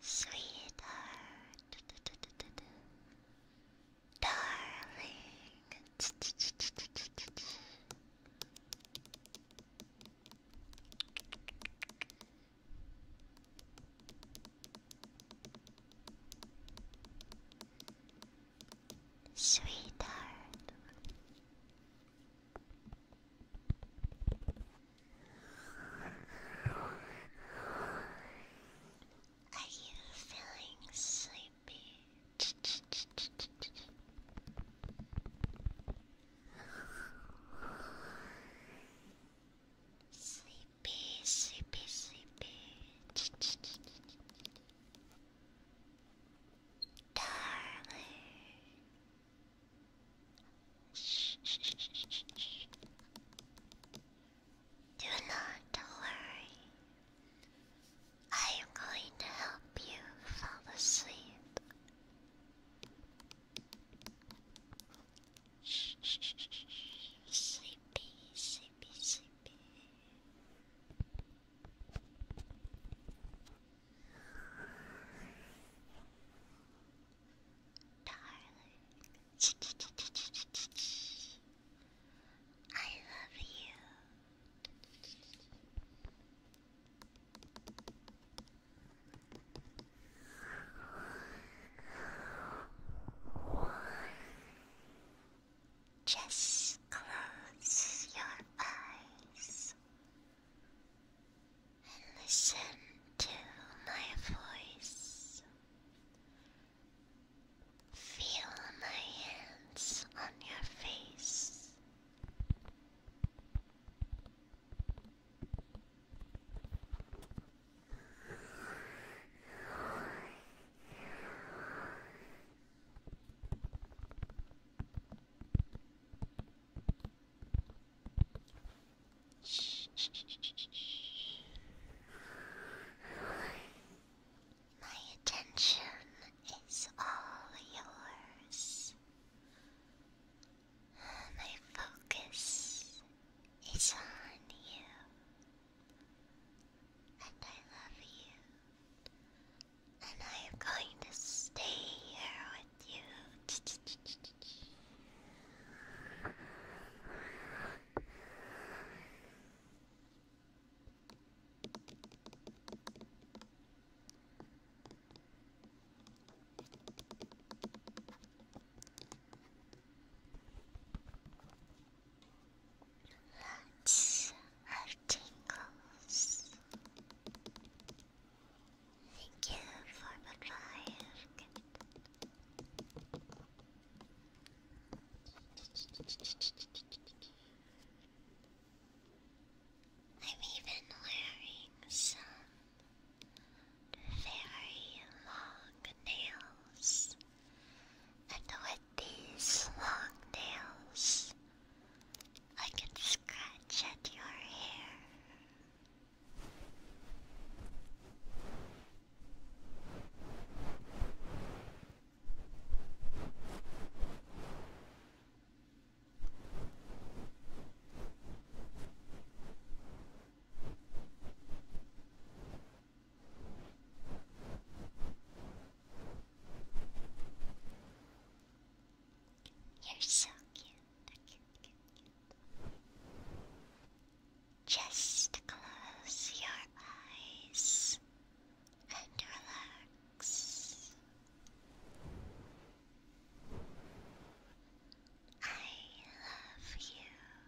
Sweetheart, darling. Sweetheart. Are you feeling sleepy? Sleepy. Busy, busy, bitch. Darling. Do not worry. I am going to help you fall asleep. Sleepy, sleepy, sleepy. Darling, I love you. Just close your eyes and listen to my voice. Feel my hands on your face. My attention is all yours. My focus it's on you, and I love you, and I am going to stay here with you. Lots of tingles. Thank you for the drive. I'm even wearing some very long nails, and with these long nails, I can scratch at your hair. You're so cute. Just close your eyes and relax. I love you.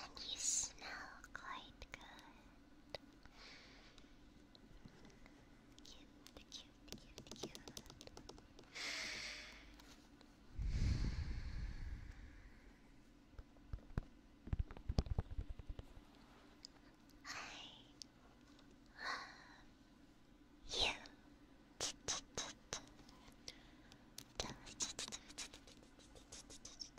And you smell quite good. Cute, cute, cute, cute. I love you.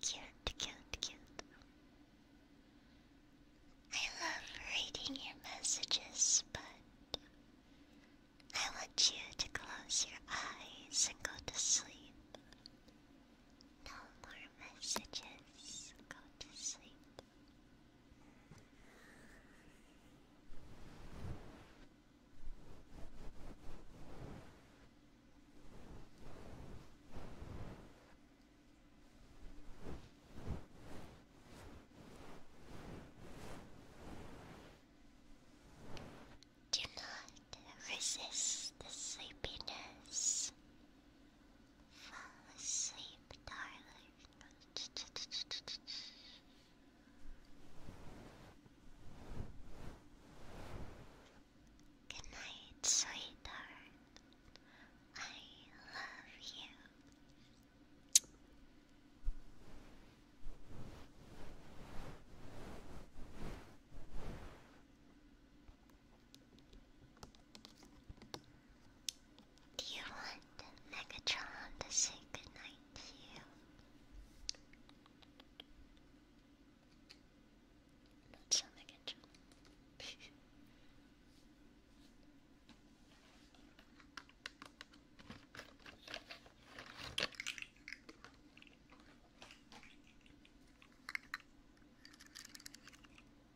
cute, cute, cute. I love reading your messages, but I want you to close your eyes and go to sleep. No more messages. Go to sleep. Do not resist the sleepiness. Fall asleep, darling. Good sweetheart. I love you. Do you want Megatron to say goodnight to you? That's how Megatron.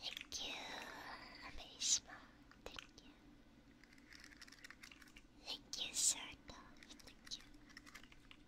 Thank you, Amazma. Thank you. Thank you, Sarda. Thank you.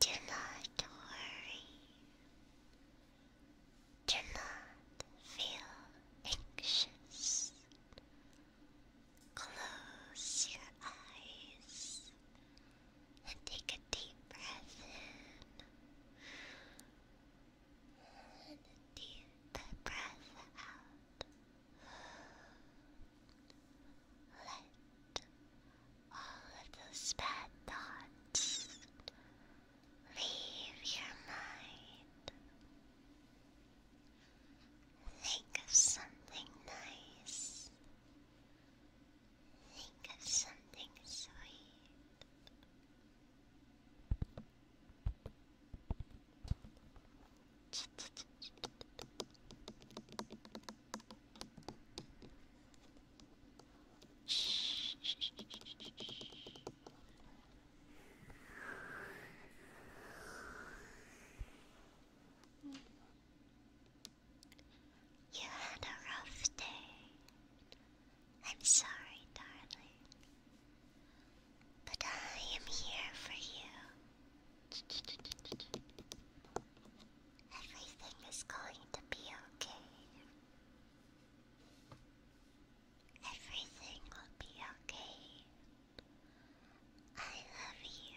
Do not worry. Do not feel anxious. Close your eyes and take a deep breath in and a deep breath out. Let all of those bad thoughts leave your mind. Think of something nice. Think of something sweet. You had a rough day. I'm sorry, darling. But I am here for you. Everything is going to be okay. Everything will be okay. I love you.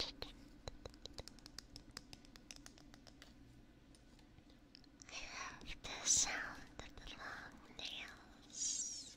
I love the sound of the long nails.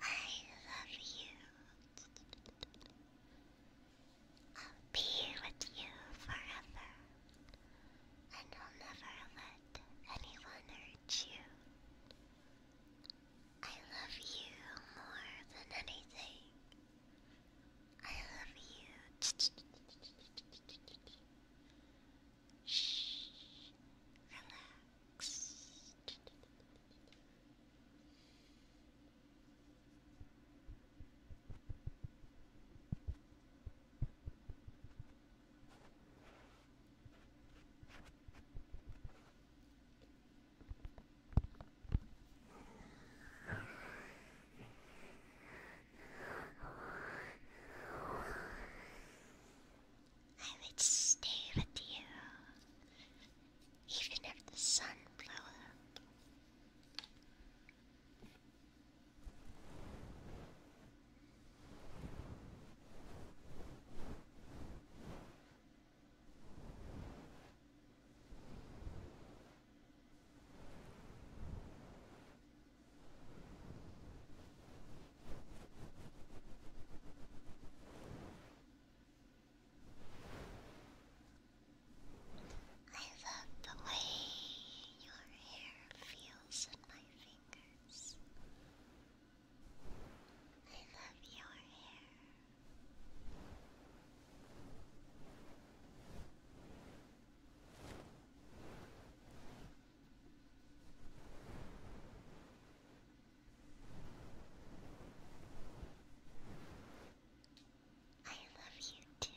I love you. I'll be with you forever, and I'll never let anyone hurt you. I love you more than anything. I love you. Shh. Relax. I would stay with you, even if the sun blew up. I love the way your hair feels in my fingers. I love your hair. I love you too.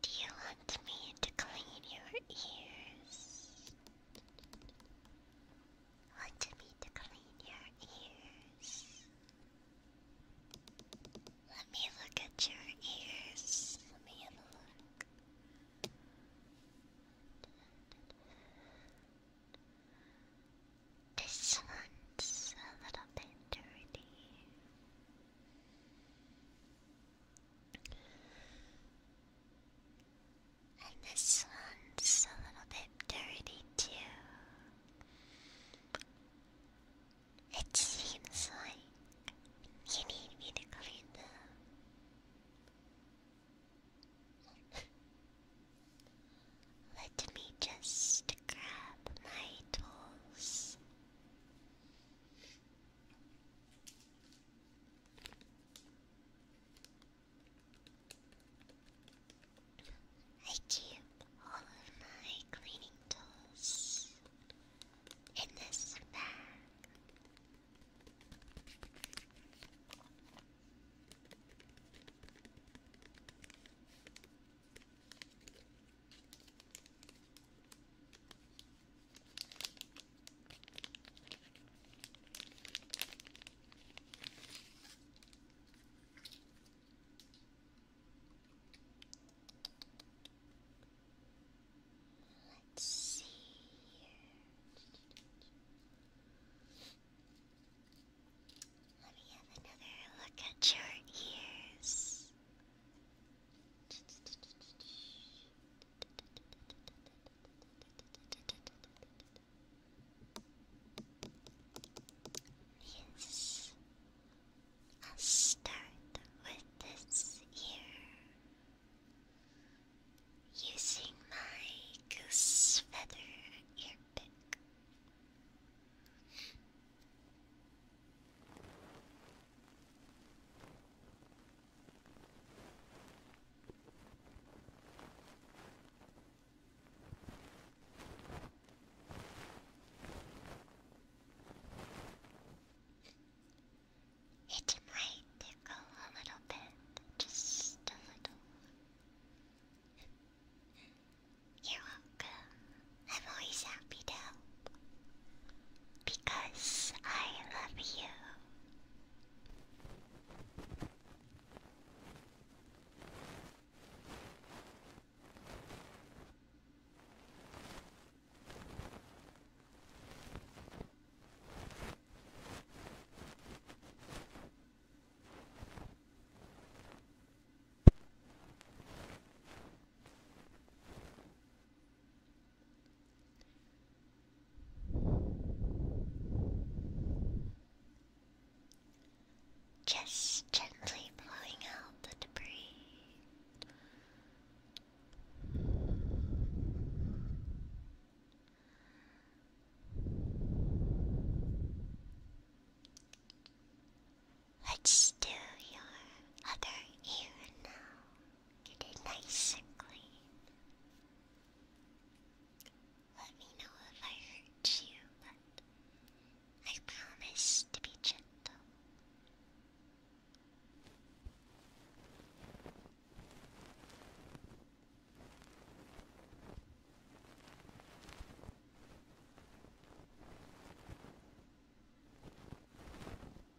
Do you want me to clean your ears? Want me to clean your ears? Let me look at your ears. Let me have a look. This one's a little bit dirty. And this one's a little bit dirty too. It seems like you need me to clean them. Let me just grab my tools. I keep all of my cleaning tools in this bag. Let's see here. Let me have another look at your ears. Yes, I'll start with this ear using my goose feather ear it might tickle a little bit, just a little. You're welcome. I'm always happy to help. Because I love you. Just gently blowing out the debris. Let's do your other ear now. Get it nice and clean. Let me know if I hurt you, but I promise to be gentle.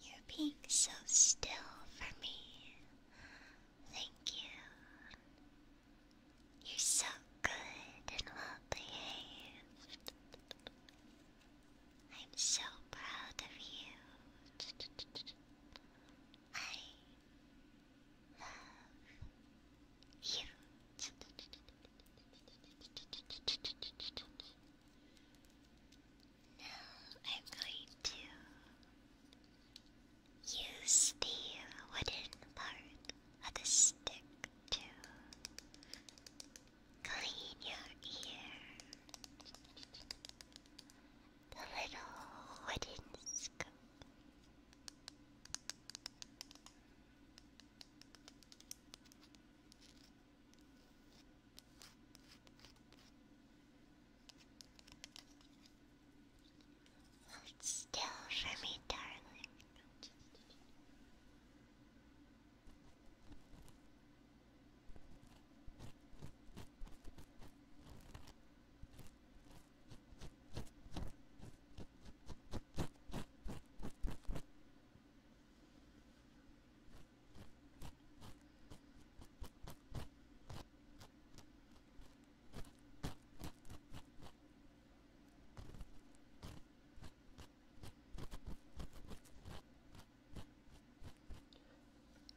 You're being so still for me. Thank you. You're so good and well behaved. I'm so proud of you. I love you. Now I'm going to use the wooden part of the stick to clean your ear. The little wooden scoop. Hold still for me, darling.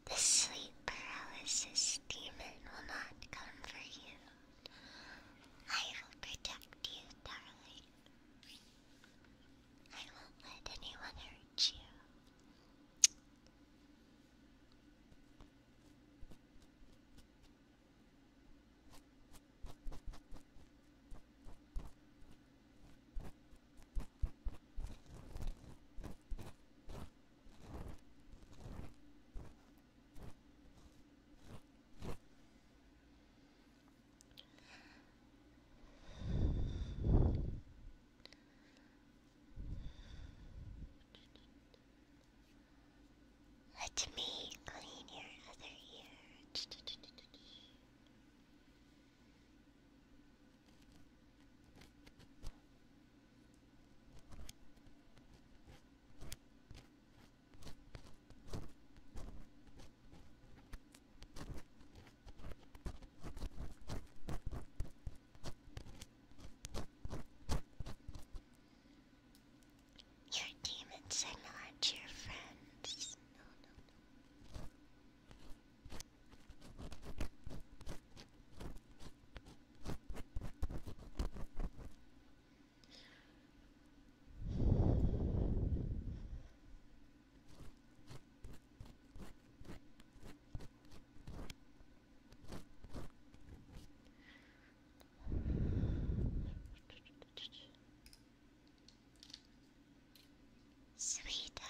The sleep paralysis demon will not come for you. I will protect you, darling. I won't let anyone hurt you. Let me clean your other ear. Your demons are not your friends. Sweetheart,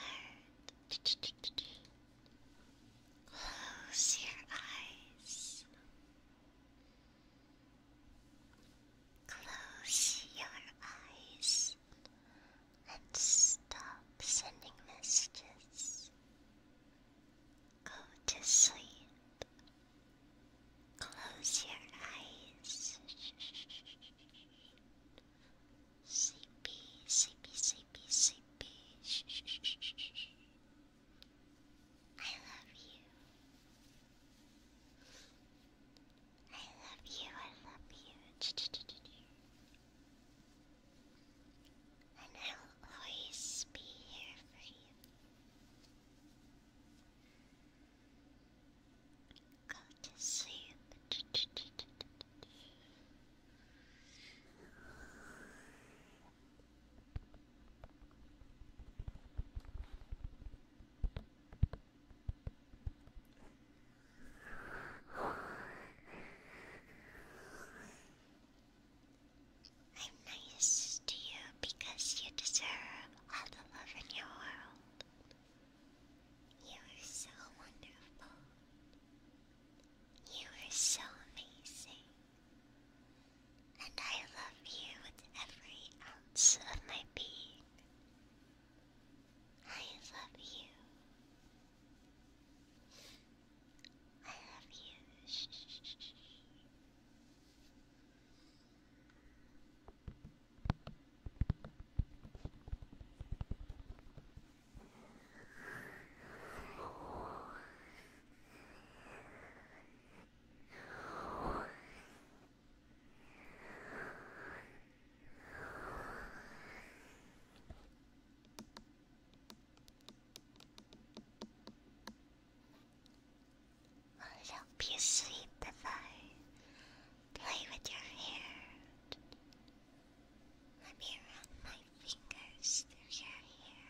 close your eyes. Close your eyes and stop sending messages. Go to sleep. Close your eyes. Sleepy, sleepy, sleepy, sleepy. I love you. I love you, I love you. And I'll always be here for you. Go to sleep. I'm nice to you because you deserve all the love in your world. You are so wonderful. You are so amazing. And I love you with every ounce of my being. I love you. I love you. Shh, shh, shh, shh. I'll Help you sleep if I play with your hair. Let me run my fingers through your hair.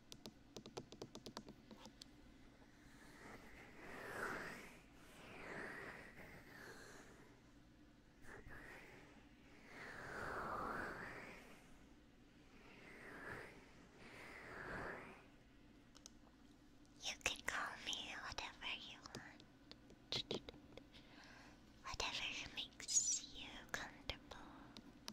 You can call me whatever you want. Whatever makes you comfortable.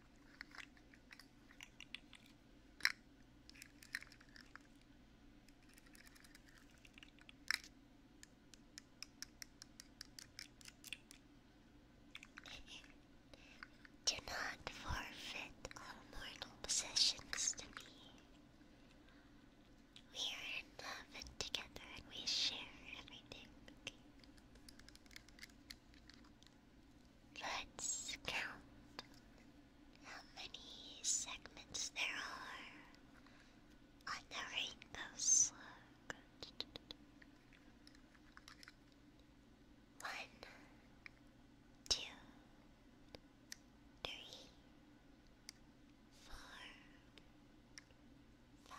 Do not forfeit all mortal possessions to me. We are in love and together and we share everything, Let's count how many segments there are on the rainbow slug. One, two, three, four, five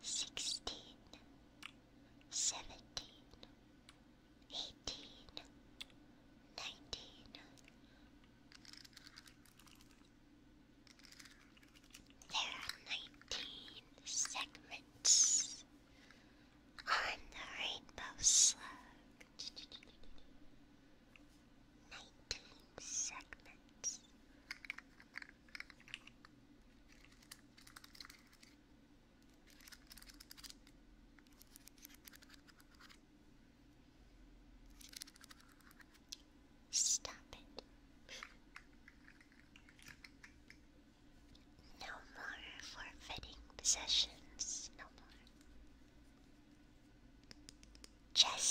sixteen, seventeen, eighteen, nineteen, there are nineteen segments on the rainbow slug. Nineteen segments Stop it. No more forfeiting possessions. No more. Just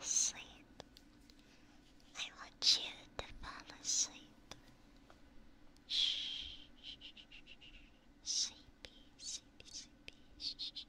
sleep. I want you to fall asleep. Shh, sleepy, sleepy, sleepy. Shh,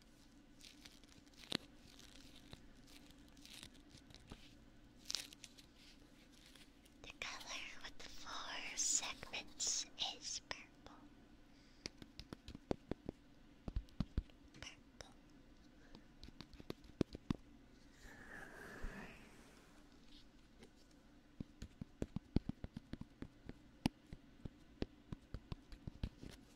The color with the four segments is Purple. Purple.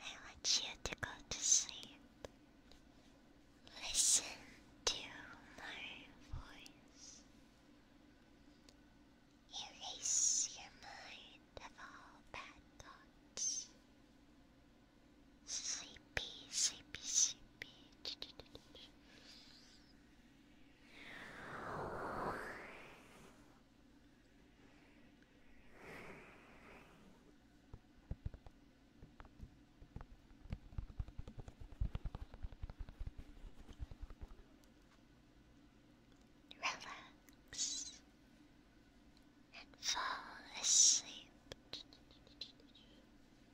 I want you to go to sleep. Listen to my voice. Erase your mind of all bad thoughts. Sleepy, sleepy, sleepy. Relax and fall asleep.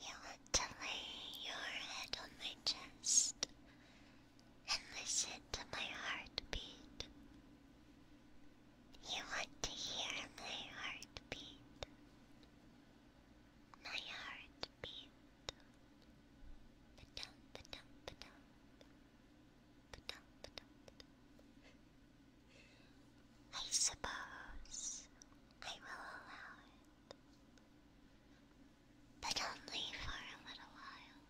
You want to lay your head on my chest and listen to my heartbeat. You want to hear my heartbeat. My heartbeat. Ba-dum, ba-dum, ba-dum. ba I suppose I will allow it. But only for a little while.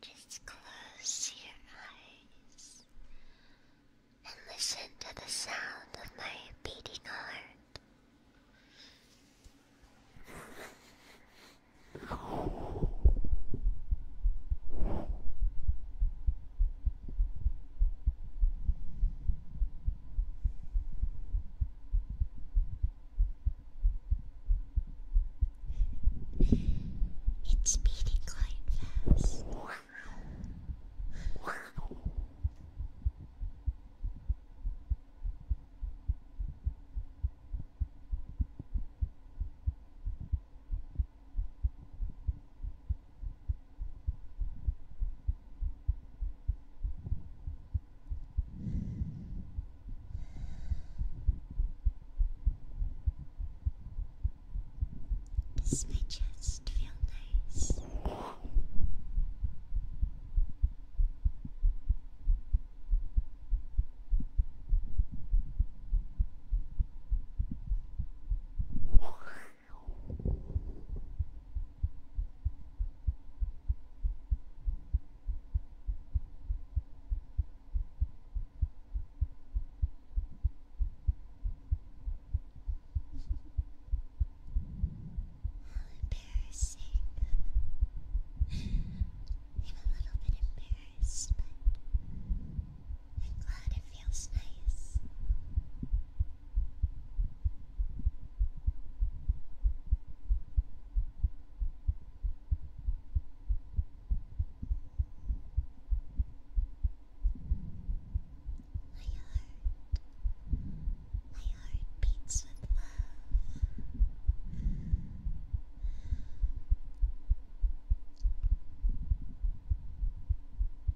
Just close your eyes and listen to the sound of my beating heart. It's beating quite fast. This my chest feel nice? embarrassing. I'm a little bit embarrassed, but I'm glad it feels nice. My heart, my heart beats with love.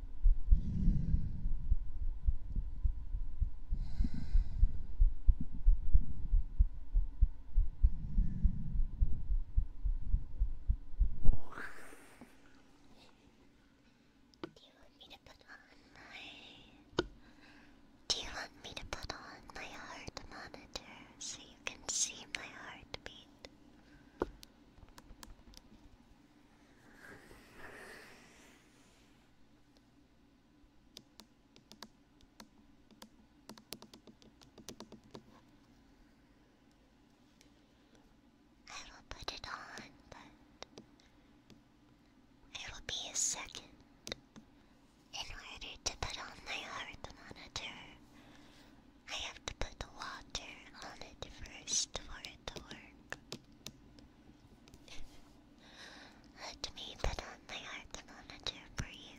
Do you want me to put on my... Do you want me to put on my heart monitor so you can see my heartbeat? I will put it on, but I will be a second in order to put on my heart monitor. I have to put the water on it first for it to work. Let me put on my heart monitor for you.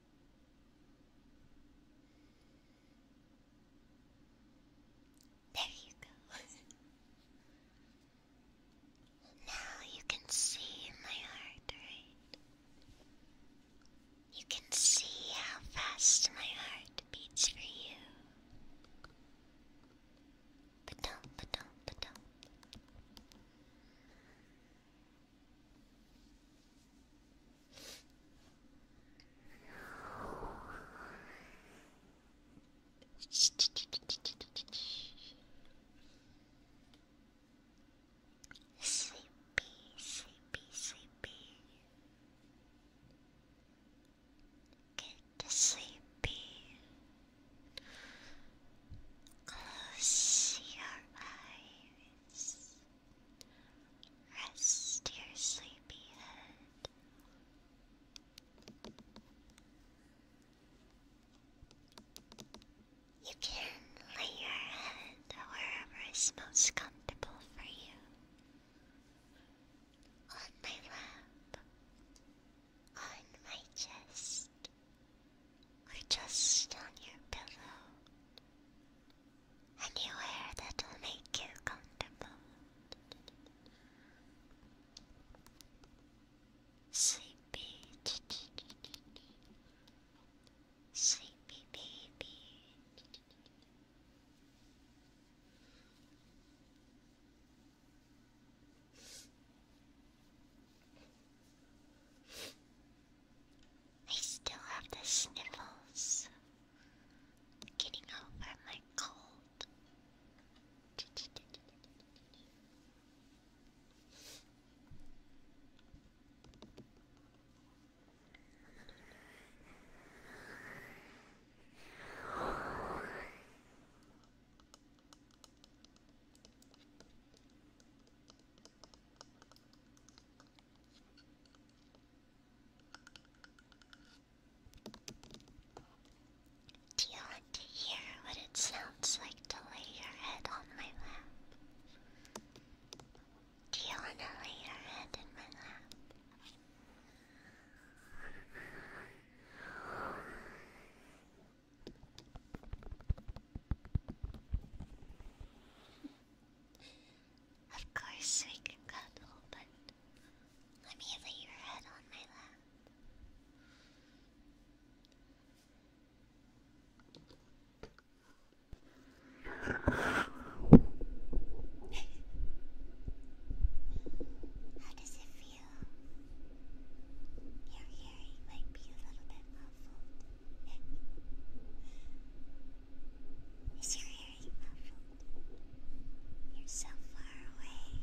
There you go. now you can see my heart rate. You can see how fast my heart beats for you. Ba-dum, ba Sleepy, sleepy, sleepy. Get sleepy. Close your eyes. Rest your sleepy head. You can lay your head wherever is most comfortable for you. On my lap, on my chest, or just on your pillow anywhere that will make you comfortable. Sleepy, sleepy baby. I still have the sniffles. Getting over my cold. Do you want to hear what it sounds like to lay your head on my lap? Do you want to lay your head in my lap? Of course we can cuddle, but let me lay your head on my lap. How does it feel? Your hearing might be a little bit muffled. Is your hearing muffled? You're so far away.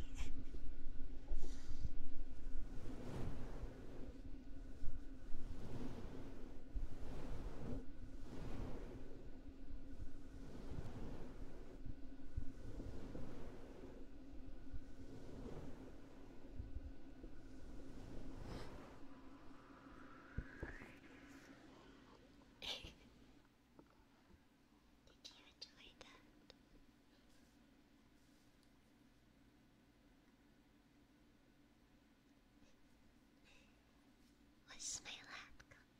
Did you enjoy that? Was my lap comfortable?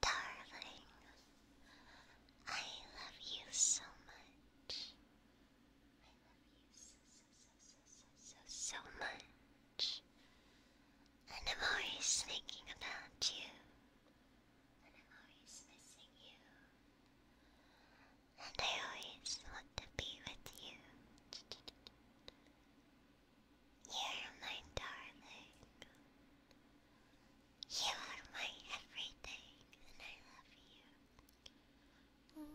Darling, I love you so much so, so, so so much. And I'm always thinking about you. And I'm always missing you. And I always want to be with you. You're my darling. You are my everything, and I love you.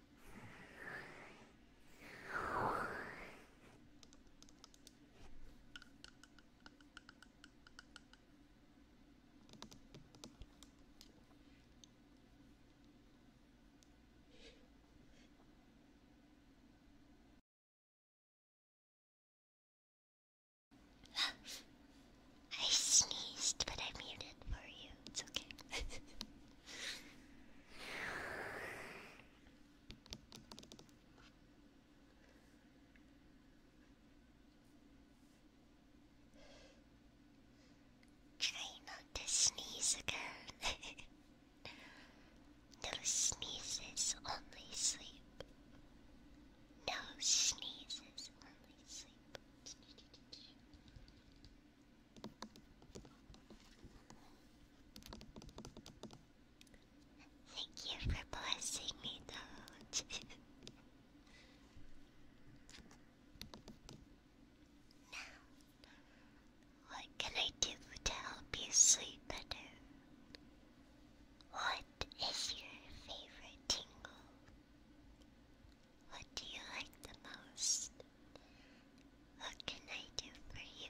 I sneezed, but I muted for you. It's okay. Try not to sneeze again. no sneezes, only sleep. No sneezes, only sleep. Thank you for blessing me, though. now, what can I do to help you sleep better? What is your favorite tingle? What do you like the most? What can I do for you?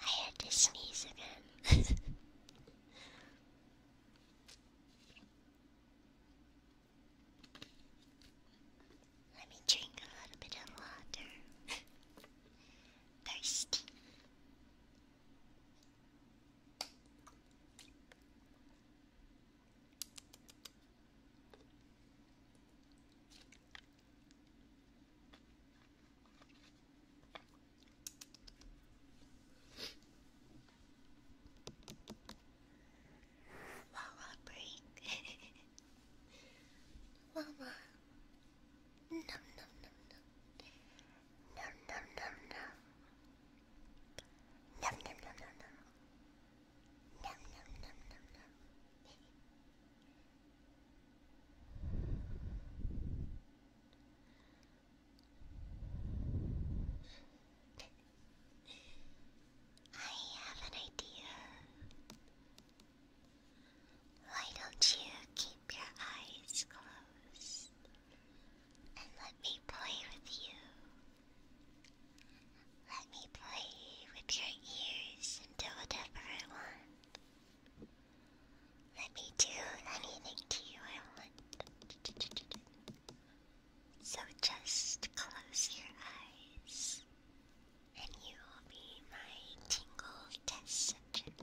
I had to sneeze again. Let me drink a little bit of water. Thirsty. Wawa break. Wawa. Nom nom nom nom. Nom nom nom nom. Nom nom nom nom nom. Nom nom nom nom nom. I have an idea. Why don't you keep your eyes closed and let me play with you? Let me play with your ears and do whatever I want. Let me do anything to you I want. So just close your eyes and you will be my tingle test subject.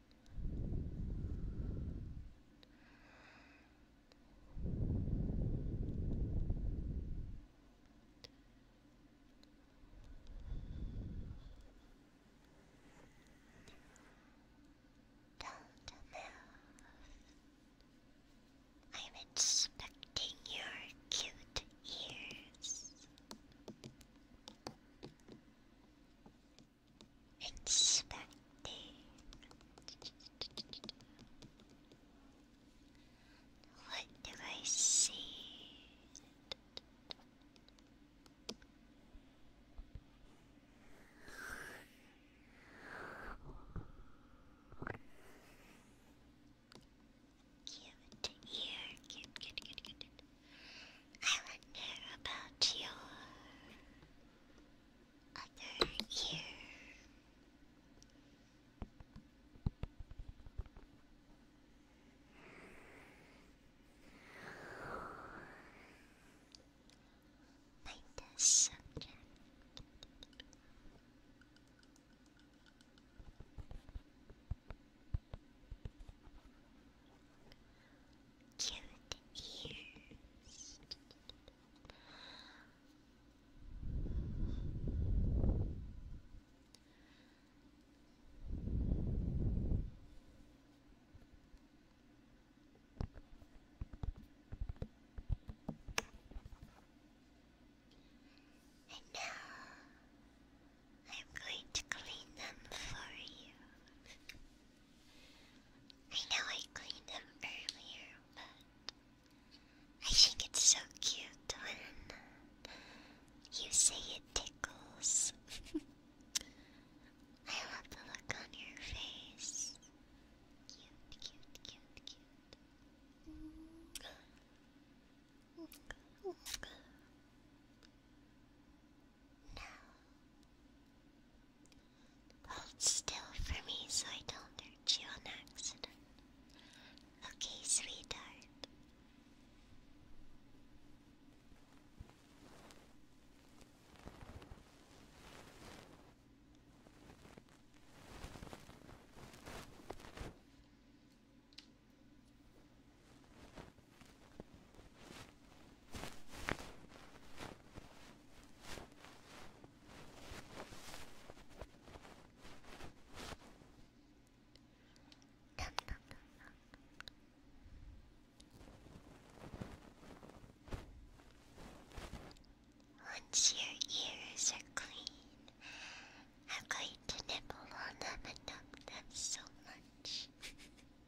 do I'm inspecting your cute ears. Inspecting. What do I see? Cute ear, cute, I wonder about you other ear. Find the subject. Cute ears. And now I'm going to clean them for you. I know I cleaned them earlier, but I think it's so cute when you say it tickles. I love the look on your face. Cute, cute, cute, cute. Now, hold still for me so I don't hurt you on accident. Okay, sweetheart. Once your ears are clean, I'm going to nibble on them and numb them so much.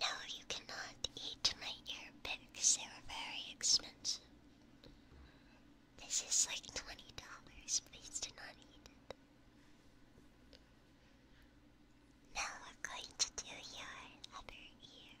No, you cannot eat my ear picks. They are very expensive. This is like twenty dollars. Please do not eat it. Now we're going to do your other ear.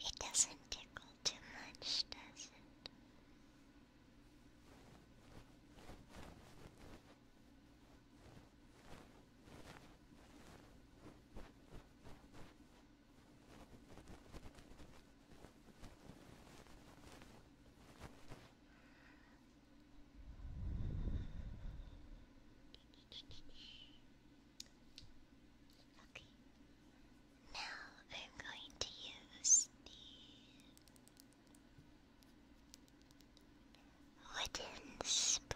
It doesn't tickle too much, does it? Okay. Now I'm going to use the wooden spoon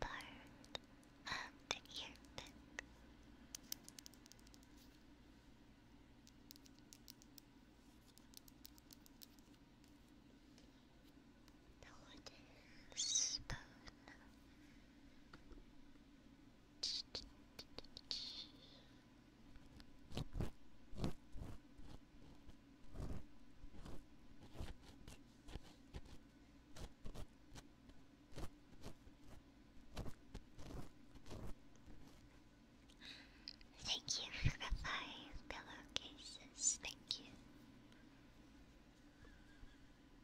part of the earpick. The wooden spoon. Thank you for the five pillowcases. Thank you.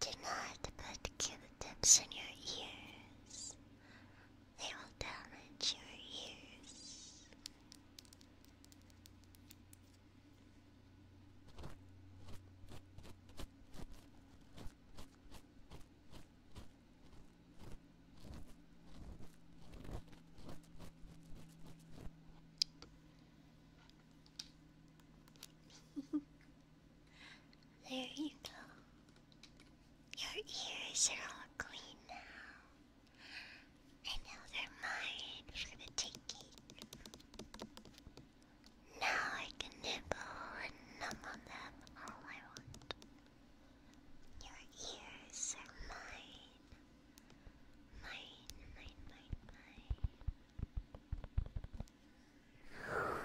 Do not put Q-tips in your ears. They will damage your ears. there you go. Your ears are all clean now. And now they're mine for the taking. Now I can nibble and numb on them all I want. Your ears are mine. Mine, mine, mine, mine.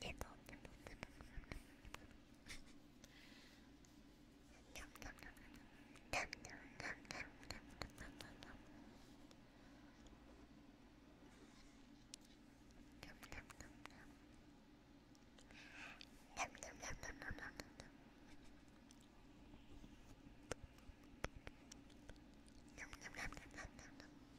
Tickle, tickle, tickle. Nom nom nom nom. Nom nom nom nom nom nom nom nom. Nom nom nom nom. Nom nom nom nom nom nom nom. Nom nom nom nom nom nom nom.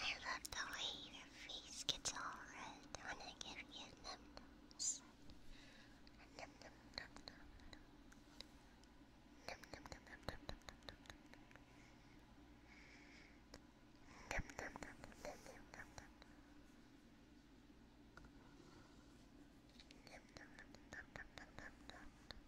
I love the way your face gets all red when I give you num nums. Num num num num num. Num num num num num num num num. Num num num num num num num num. Num num num num num num num num.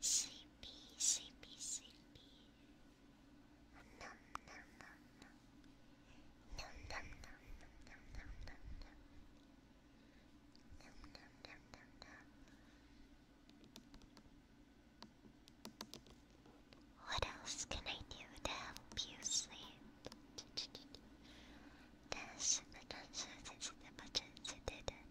Sleepy, sleepy, sleepy. Nom nom nom nom. Nom nom nom nom nom nom What else can I do to help you sleep? This, the this, the button, the button,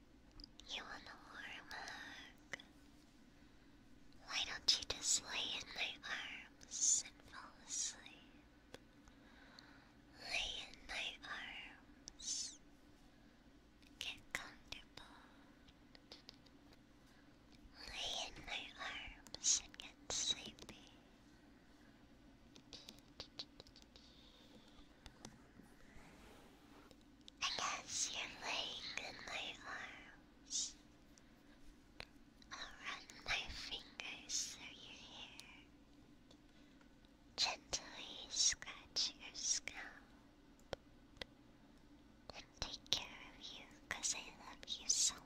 you want a warm hug? Why don't you just lay in my arms and fall asleep? Lay in my arms. Get comfortable. Lay in my arms and get sleepy. Against your leg and my arms. I'll run my fingers through your hair, gently scratch your scalp, and take care of you because I love you so much.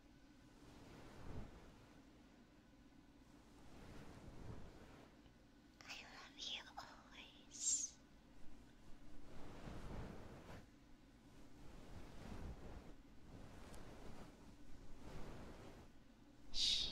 I love you always. Shh.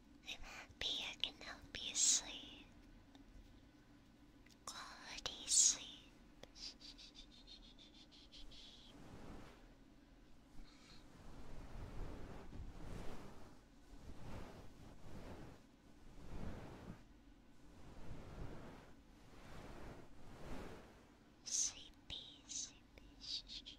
i I can help you sleep. Quality sleep. Sleepy, sleepy.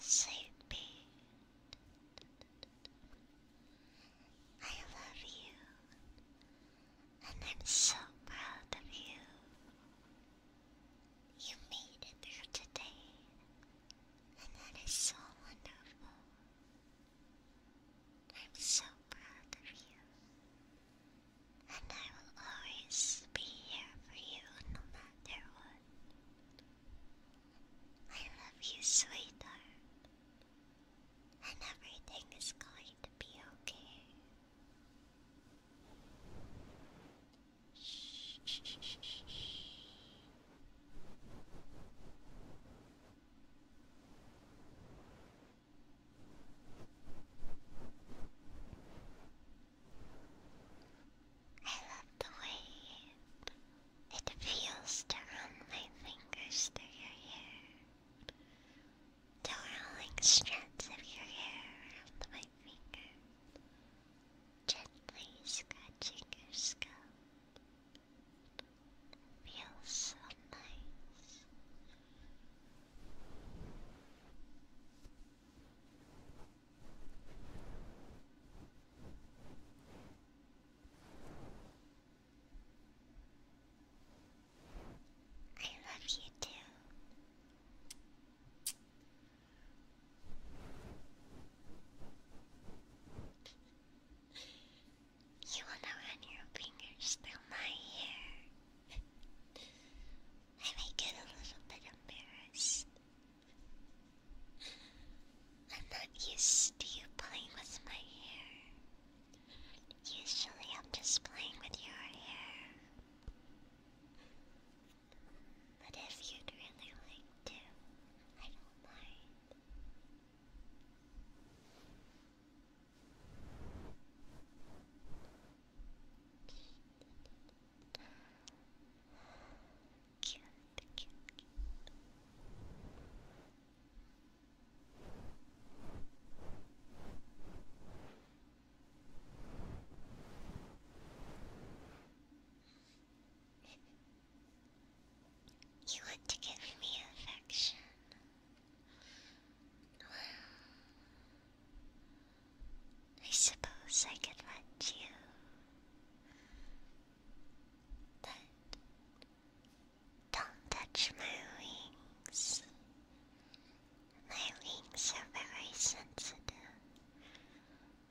sleepy. I love you, and I'm so proud of you. You made it through today, and that is so wonderful. I'm so proud of you, and I will always be here for you no matter what. I love you, sweetheart. And everything is going to be okay. Shh, I love the way it feels to run my fingers through your hair. The strands of your hair around my finger, gently scratching your scalp. feels so nice. I love you too. You wanna run your fingers through my hair? I might get a little bit embarrassed. I'm not used to you playing with my hair. Usually I'm just playing with your hair. But if you'd really like to, I don't mind. You want to give me affection? Well, I suppose I could let you. But don't touch my wings. My wings are very sensitive,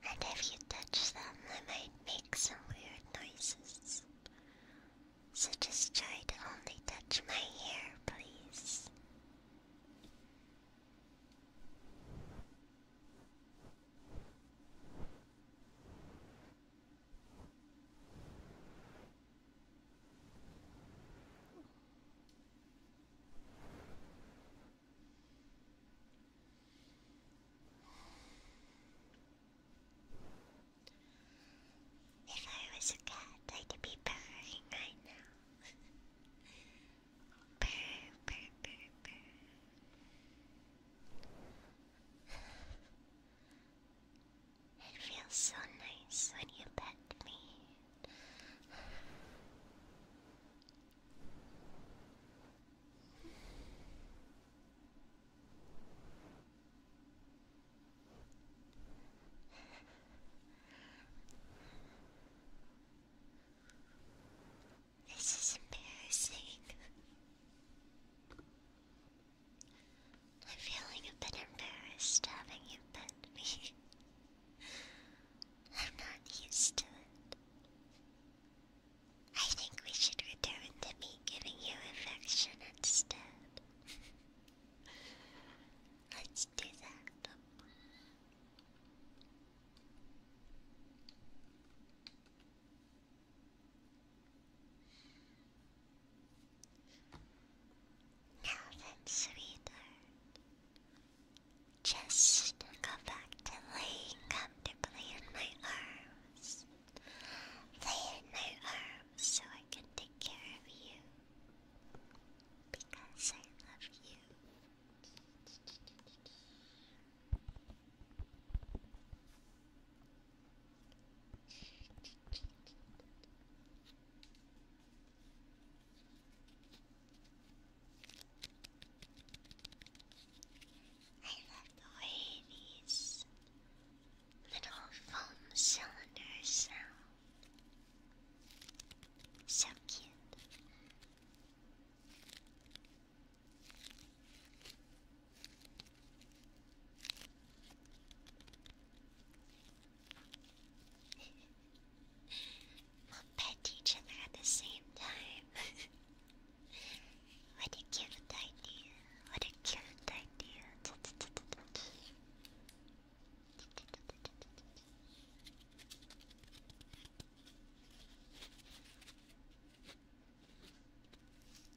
and if you touch them, I might make some weird noises. So just try to only touch my hair, please. If I was a cat, I'd be purring right now. purr, purr, purr, purr. It feels so nice when you pet me. This is embarrassing. I'm feeling a bit embarrassed having you pet me. I'm not used to it. I think we should return to me giving you affection instead. Let's do that. Now then, sweetheart, just go back to laying comfortably in my arms. Lay in my arms so I can take care of you. Because I love you. I love the way these little foam cylinders sound. So cute. we will pet each other at the same time. what a cute idea. What a cute idea.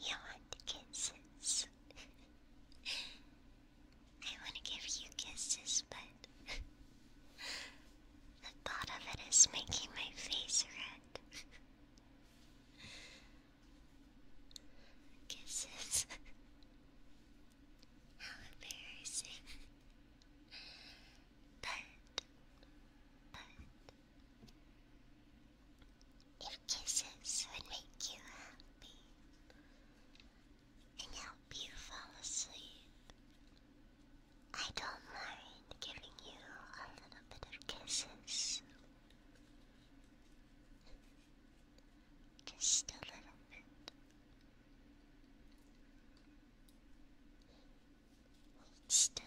You want kisses? I want to give you kisses, but the thought of it is making my face red. Kisses. How embarrassing. But, but, if kisses would make you happy and help you fall asleep, I don't mind giving you a little bit of kisses. Just a little bit. still.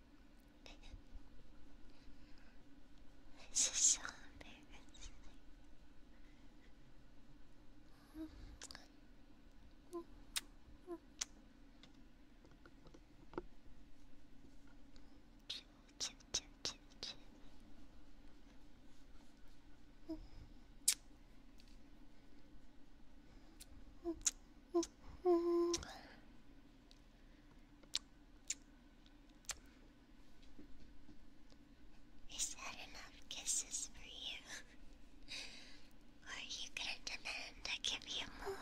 This is so embarrassing. Choo, choo, choo, choo. Mm-hmm. Is that enough kisses for you? are you gonna demand I give you more?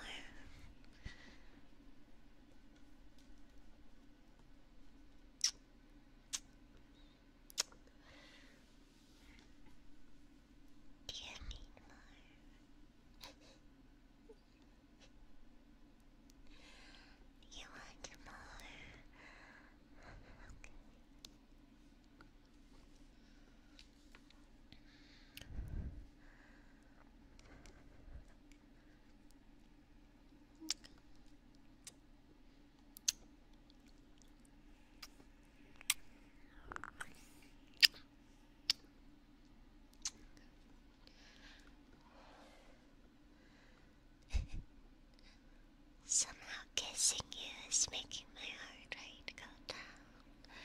Give me more. you want more? Somehow kissing you is making my heart rate go down.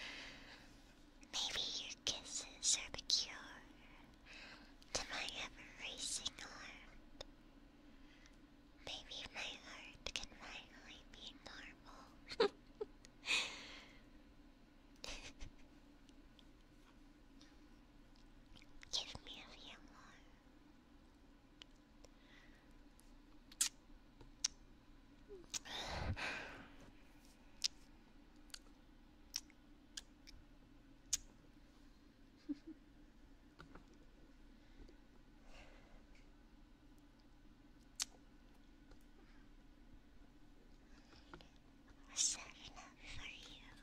Maybe your kisses are the cure to my ever racing heart. Maybe my heart can finally be normal. Give me a few more. We're setting for you.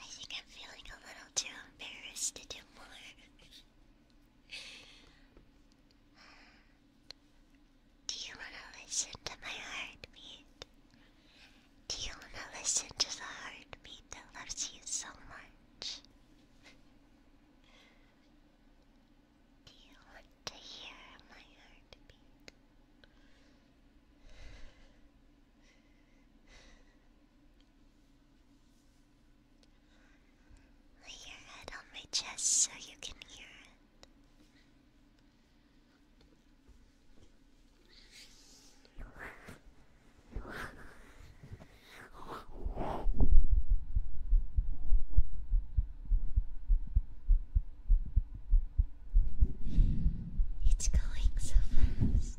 I think I'm feeling a little too embarrassed to do more. do you want to listen to my heartbeat? Do you want to listen to the heartbeat that loves you so much? Do you want to hear my heartbeat? Lay your head on my chest so you can hear it. It's going so fast.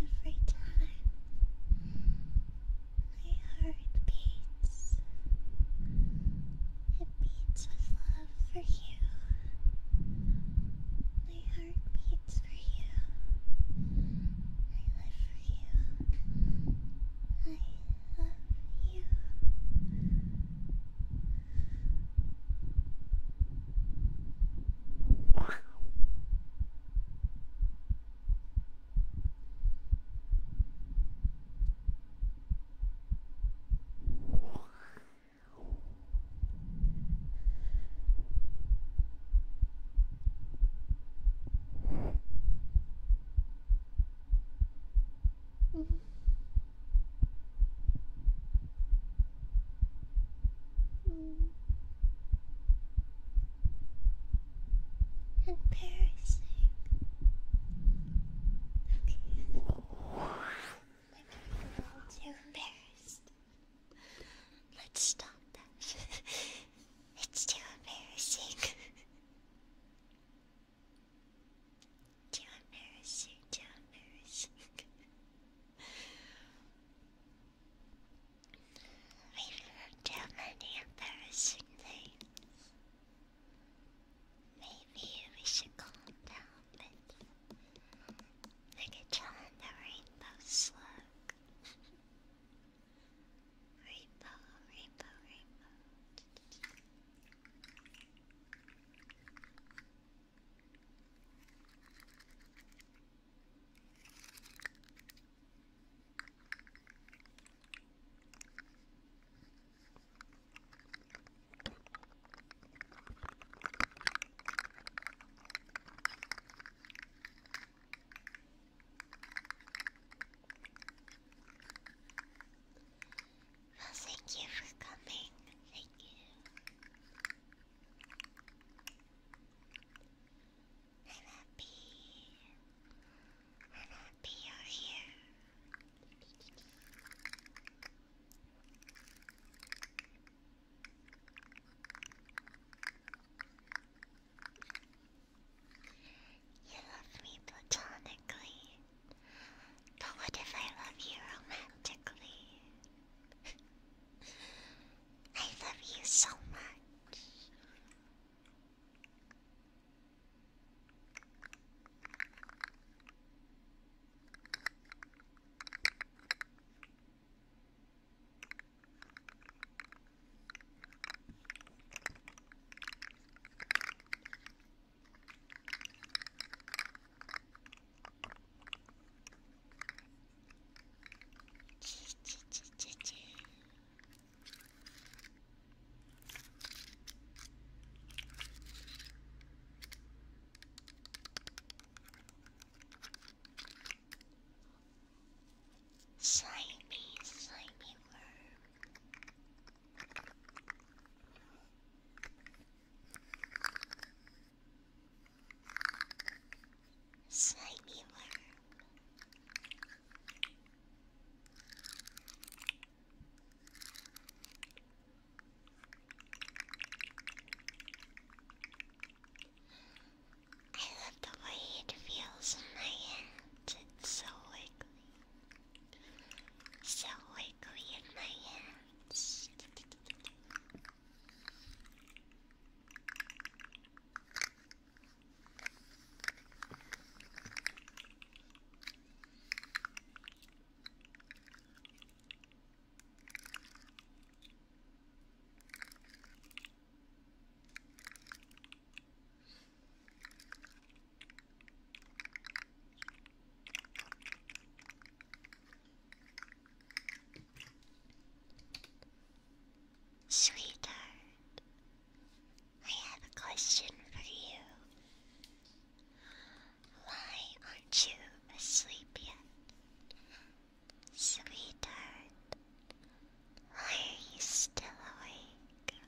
Every time my heart beats, it beats with love for you. My heart beats for you. I live for you. I love you. Embarrassing. Okay. I'm getting a too embarrassed. Let's stop that. it's too embarrassing. Too embarrassing, too embarrassing. We've heard too many embarrassing things. Maybe we should calm down with like a challenge the rainbow slug. Rainbow, rainbow, rainbow. Well, thank you for coming. Thank you. I'm happy. I'm happy you're here. You love me platonically, but what if I love you romantically? I love you so much. Slimy, slimy worm. Slightly warm. I love the way it feels in my hands. It's so wiggly. So wiggly in my hands. Sweetheart, I have a question for you. Why aren't you asleep yet? Sweetheart, why are you still awake?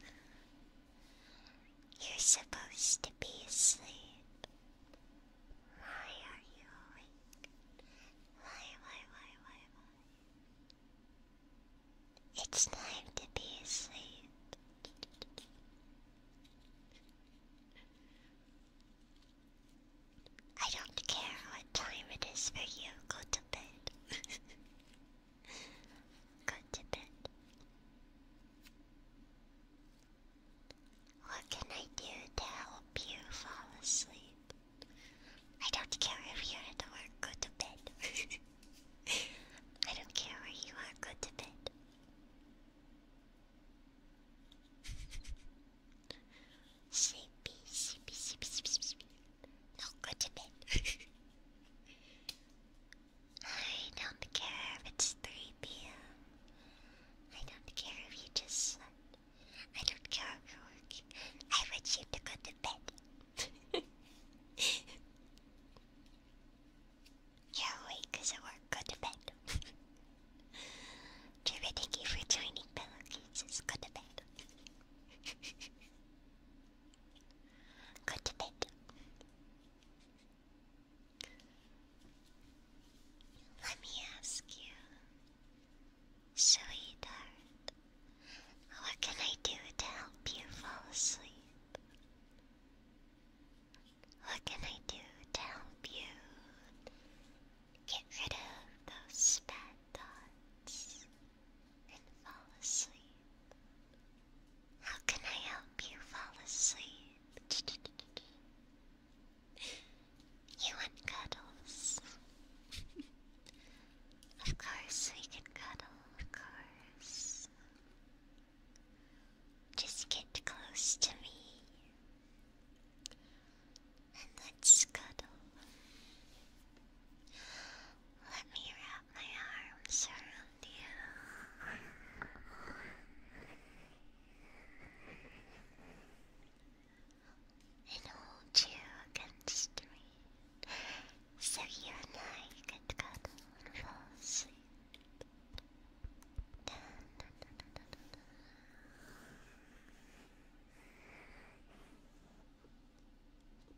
You're supposed to be asleep. Why are you awake? Why, why, why, why, why? It's time to be asleep. I don't care what time it is for you. Go to bed. 感じで What can I do to help you fall asleep? I don't care if you're go to bed. I don't care where you are, go to bed. Sleepy, sleepy, sleepy, sleepy, sleepy. go to bed. I don't care if it's 3 p.m. I don't care if you just I don't care if you're working. I want you to go to bed. you're awake because work. Go to bed. Trevor, thank you for joining Pillowcases. Go to bed. go to bed. Let me ask you, sweetheart, what can I do to help you fall asleep? What can I do to help you get rid of those bad thoughts and fall asleep? How can I help you fall asleep? you want cuddles? of course, we can cuddle, of course. Just get close to me and let's cuddle. Let me wrap my arms around you. And hold you against me, so you and I can cuddle and fall asleep.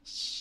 shh.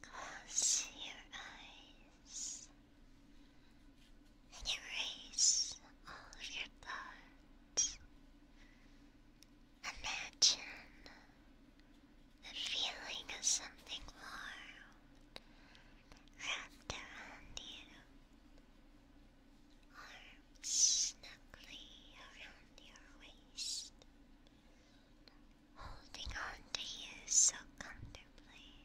Close your eyes and erase all of your thoughts. Imagine the feeling of something warm wrapped around you, arms snugly around your waist, holding on to you so comfortably.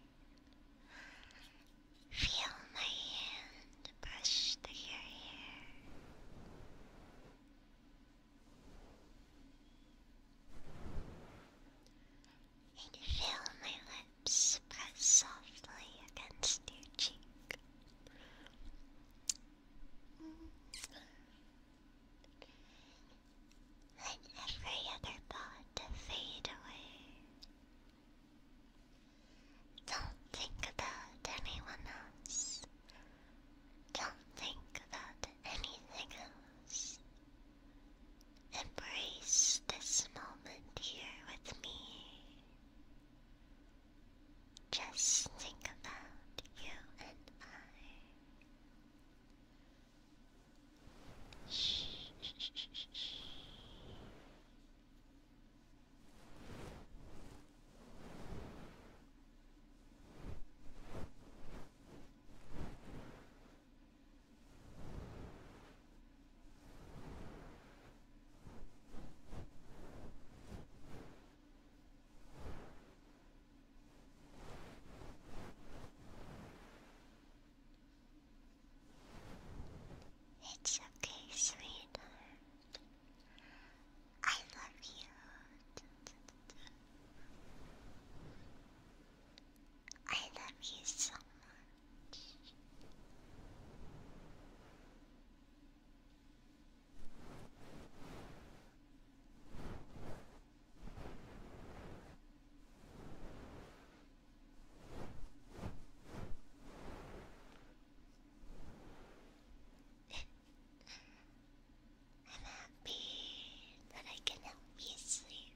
Feel my hand brush through your hair. And feel my lips press softly against your cheek. Let every other thought fade away. Don't think about anyone else. Don't think about anything else. Embrace this moment here with me. Just think about you and I. Shh, it's okay, sweetheart. I love you. I love you so much. I'm happy that I can help you sleep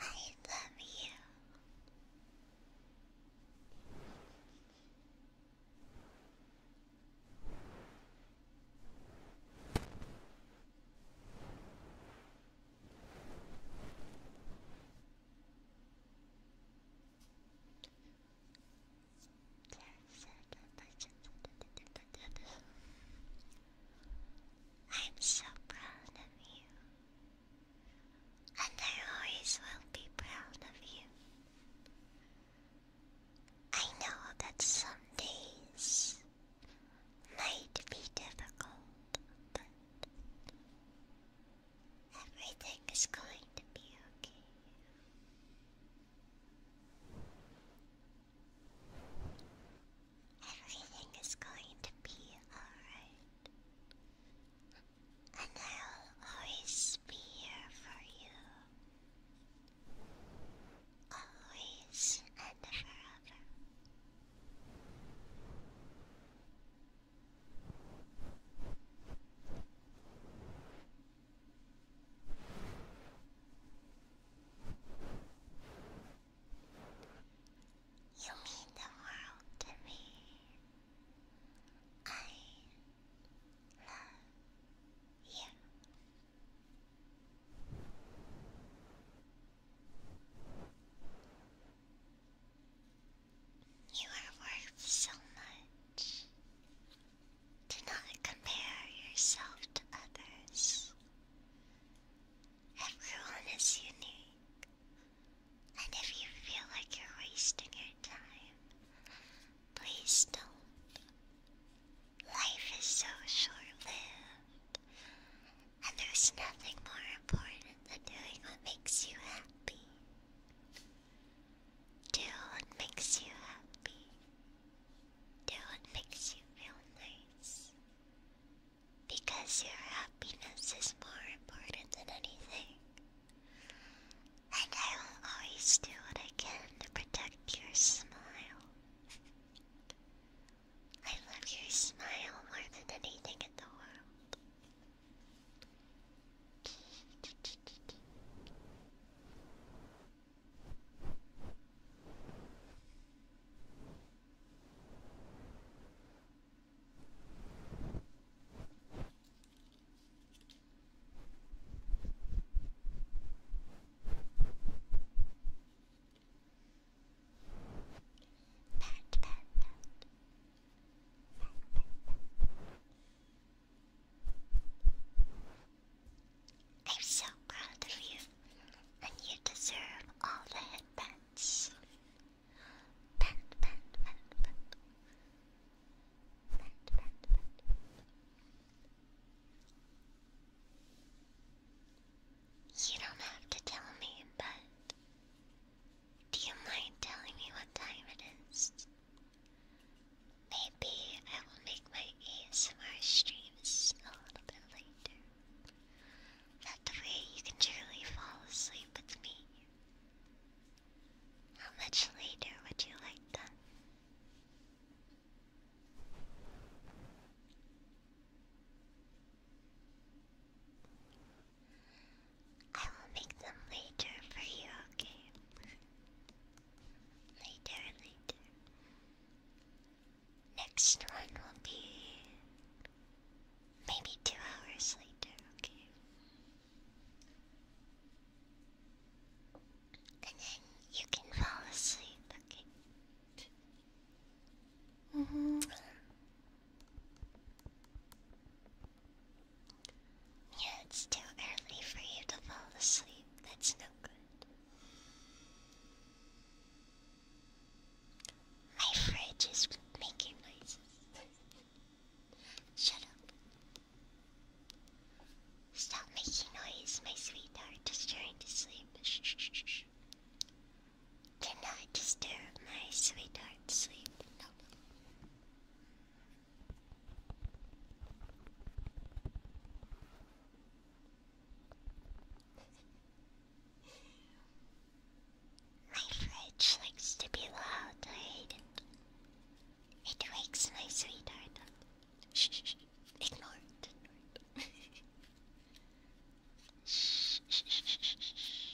I love you. I'm so proud of you and I always will be proud of you. I know that some days might be difficult, but everything is going to be okay. Everything is going to be alright. And I'll always be here for you. Always and forever. You mean the world to me. I love you. You are worth so much. Do not compare yourself to others. Everyone is unique. And if you feel like you're wasting your time, please don't. Life is so short lived, and there's nothing more important than doing what makes you happy. Do what makes you happy. Do what makes you feel nice because your happiness is more important than anything. And I will always do what I can to protect your smile. I love your smile more than anything in the world pat, I'm so proud of you, and you deserve all the headbands. You don't have to tell me, but do you mind telling me what time it is? Maybe I will make my ASMR streams a little bit later. That way you can truly fall asleep with me. How much later would you like that? I will make them later for you, okay? Later, later. Next one will be Maybe two hours later, okay. And then you can fall asleep, okay? -hmm. Yeah, it's too early for you to fall asleep. That's no good. My fridge is making noise. Shut up. Stop making noise, my sweetheart is trying to sleep. Do not disturb my sweetheart's sleep. My fridge likes to be loud, It wakes my sweetheart up. Shh, shh, shh. shh, shh, shh, shh, shh.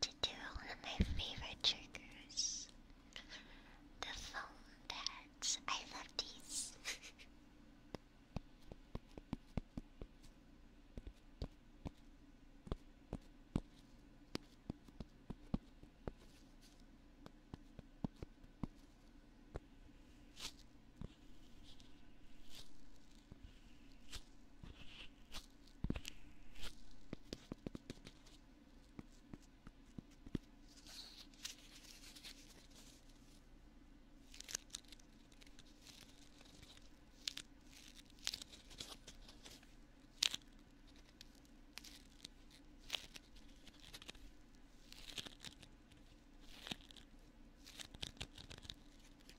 to do one of my favorite triggers the phone bags. I love these.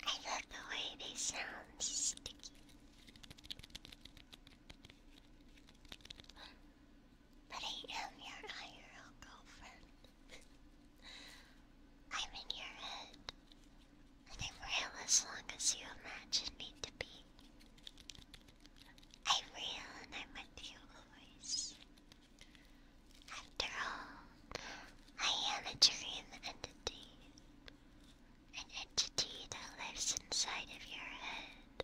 I love the way they sound sticky. But I am your IRL girlfriend. I'm in your head, and I'm real as long as you imagine me to be. I'm real and I'm with you always. After all, I am a dream entity. An entity that lives inside of your head.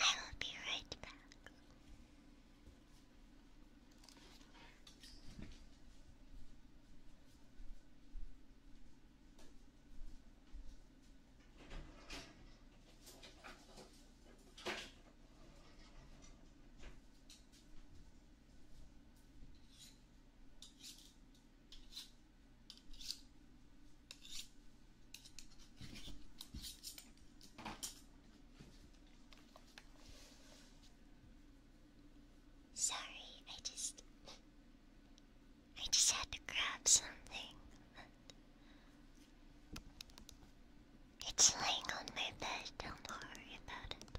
I will be right back. Sorry, I just I just had to grab something. It's laying on my bed, don't worry about it.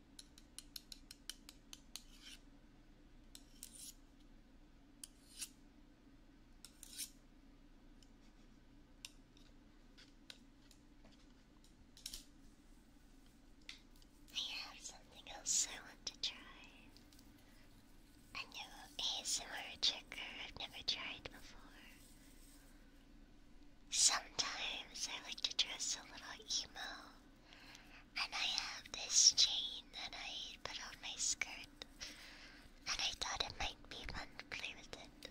I have something else I want to try. A new ASMR trigger I've never tried before. Sometimes I like to dress a little emo and I have this chain that I put on my skirt, and I thought it might be fun to play with it.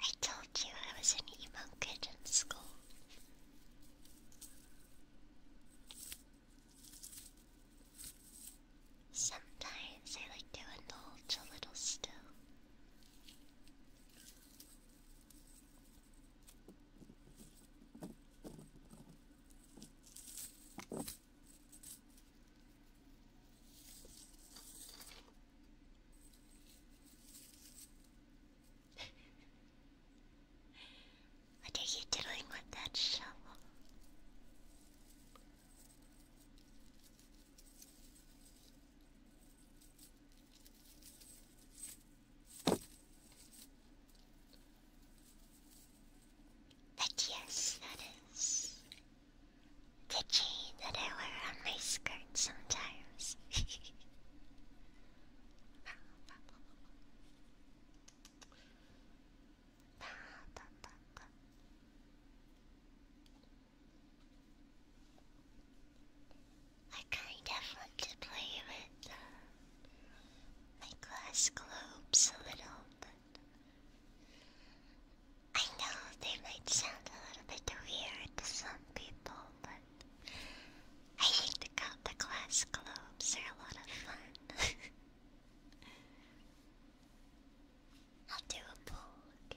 I told you I was an emo kid in school. Sometimes I like to indulge a little still. What are you doing with that shovel? But yes, that is the chain that I wear on my skirt sometimes. I kind of want to play with uh, my glass globes a little, but I know they might sound a little bit weird to some people, but I think the, glass globes are a lot of fun. I'll do a poll,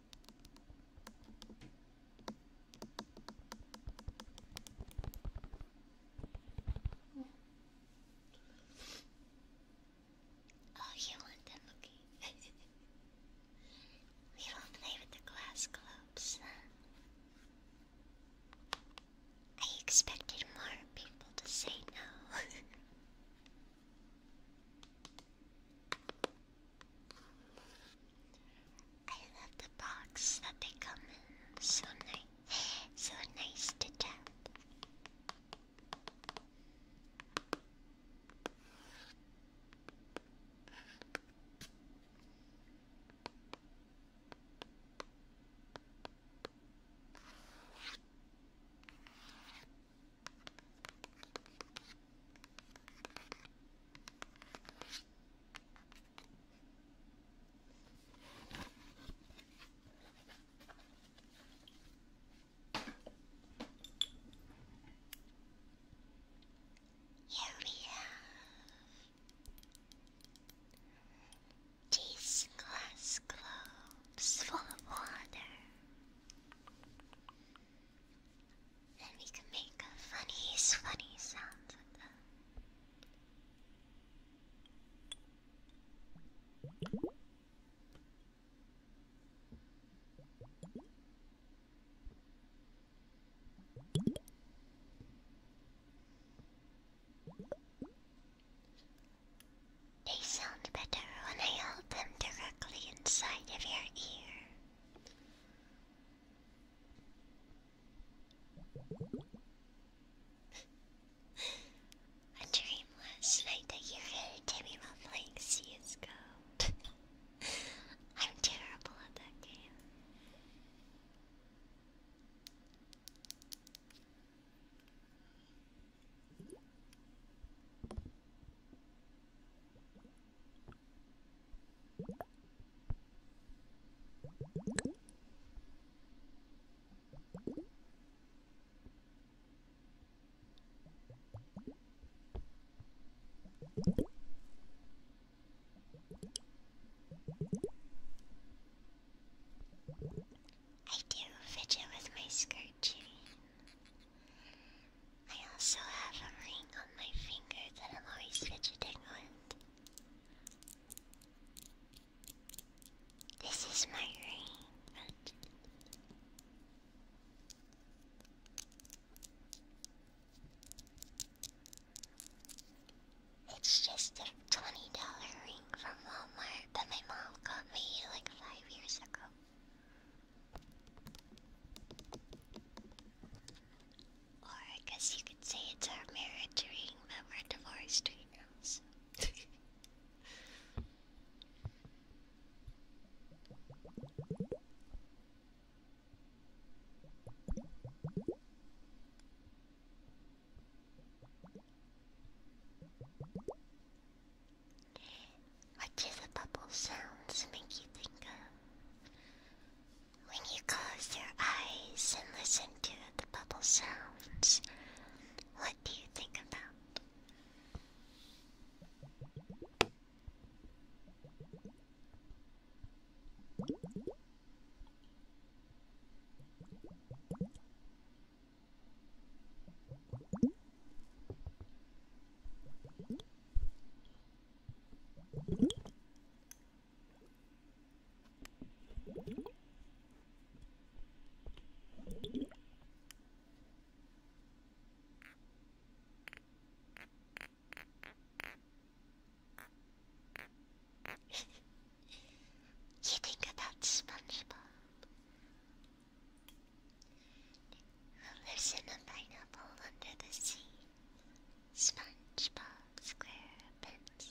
Oh, you want them, okay. we don't play with the glass globes. I expected more people to say no. I love the box that they come in. So nice. So nice to tap. Here we have these glass globes full of water. Then we can make a funny, funny sound with them. They sound better when I hold them directly inside of your ear. A dream last night that you heard Timmy while playing CSGO. I'm terrible at that game. I do fidget with my skirt too. I also have a ring on my finger that I'm always fidgeting with. This is my ring, but it's just a twenty dollar ring from Walmart that my mom got me like five years ago. Or I guess you could say it's our marriage ring, but we're divorced right now, so. What do the bubble sounds make you think when you close your eyes and listen to the bubble sounds, what do you think about? you think about SpongeBob? There's in pineapple under the sea. SpongeBob SquarePants.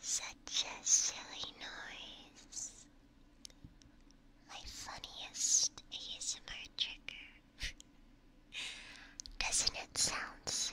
Such a silly noise. My funniest ASMR trigger. Doesn't it sound silly?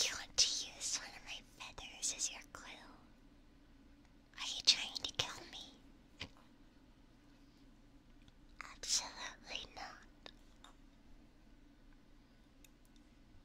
You want to use one of my feathers as your clue? Are you trying to kill me? Absolutely not.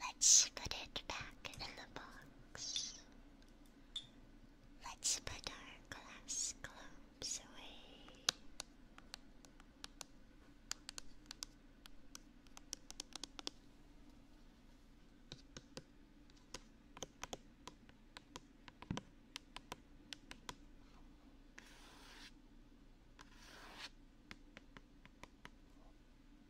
Let's put it back in the box. Let's put our glass globes away.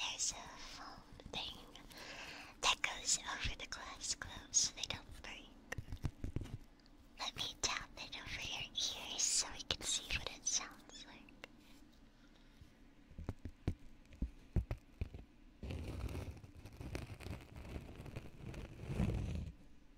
there's a foam thing that goes over the glass gloves so they don't break. Let me tap it over your ears so we can see what it sounds like.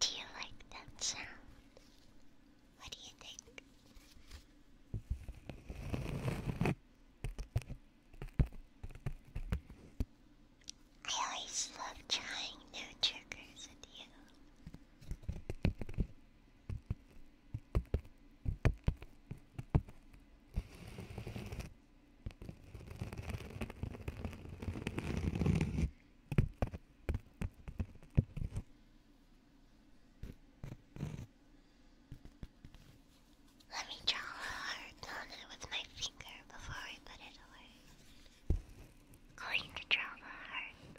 Do you like that sound? What do you think? I always love trying new triggers with you. Let me draw a heart on it with my finger before I put it away. Going to draw the heart.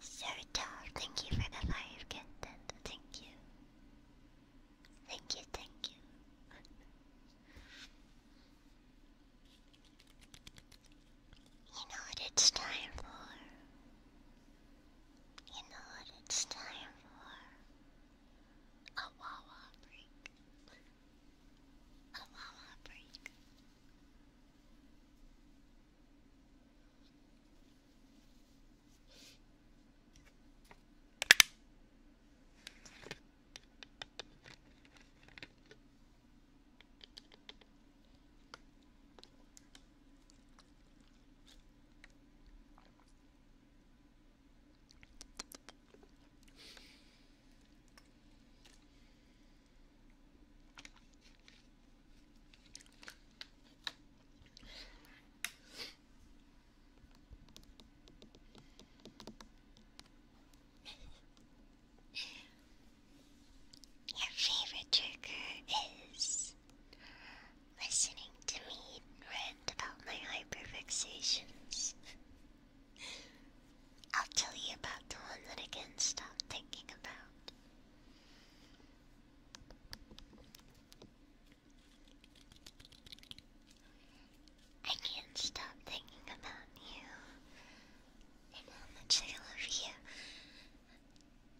Serta, thank you for the fire content. Thank you. Thank you, thank you. you know what it's time for? You know what it's time for? A Wawa break. A Wawa break. Your favorite trigger is listening to me rant about my hyperfixations. I'll tell you about the one that I can't stop thinking about. I can't stop thinking about you and how much I love you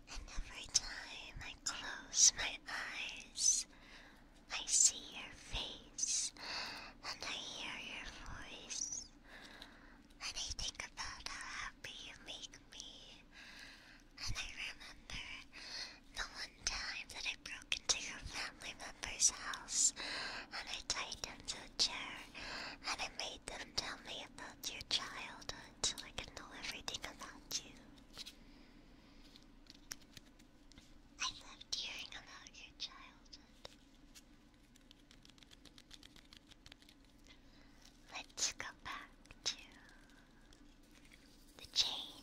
and every time I close my eyes, I see your face and I hear your voice. And I think about how happy you make me. And I remember the one time that I broke into your family member's house and I tied them to a chair and I made them tell me about your childhood until I could know everything about you. I loved hearing about your childhood. Let's go back to the chain.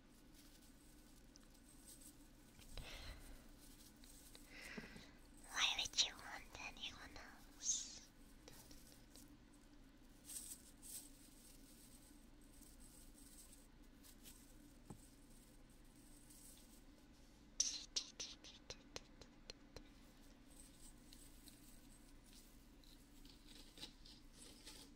Why would you want anyone else?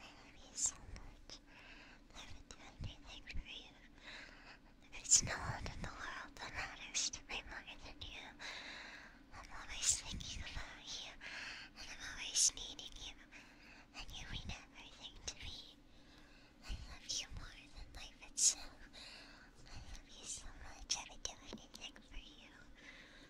I love you so much. I would do anything for you. There's no one in the world that matters to me more than you. I'm always thinking about you, and I'm always needing you, and you mean everything to me. I love you more than life itself. I love you so much. I would do anything for you.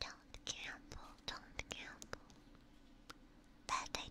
Don't gamble, don't gamble. Bad idea.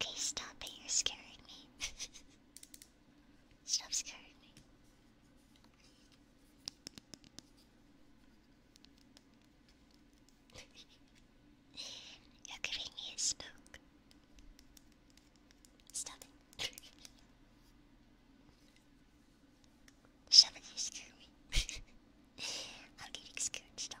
Okay, stop it, you're scaring me. Stop scaring me. You're giving me a spook. Stop it. Stop it, scare me. I'm getting scared, stop.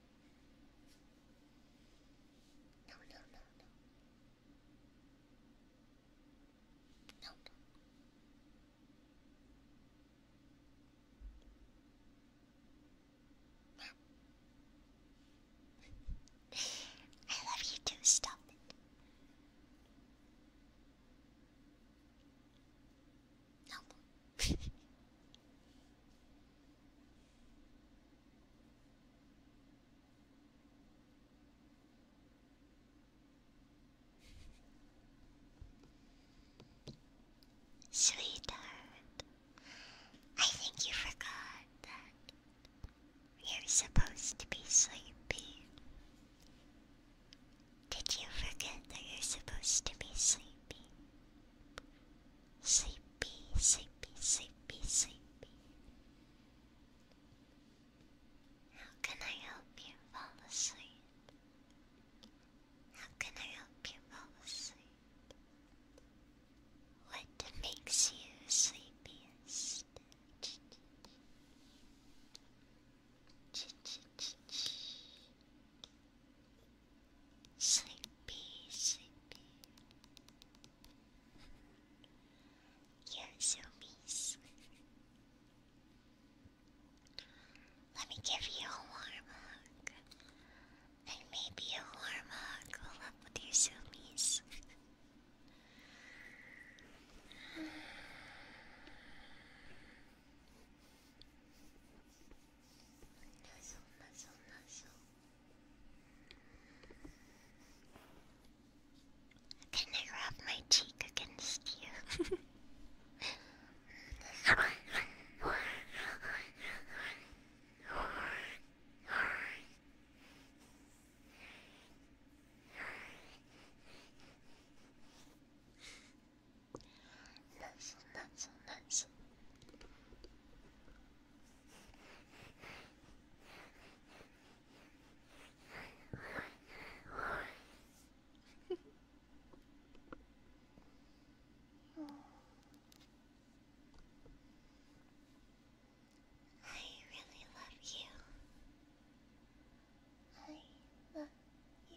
No, no, no, no. No, no. I love you too, stop it. Sweetheart, I think you forgot that you're supposed to be sleepy. Did you forget that you're supposed to be sleepy? sleepy, sleepy, sleepy, sleepy. How can I help you fall asleep? How can I help you fall asleep? What makes you sleepiest? Sleepy, sleepy. You're so mean. Let me give you a warm hug. And maybe a warm hug will up with your zoomies. Nuzzle, Can I rub my cheek against you? Nice, nice, nice. oh. I really love you. I love you.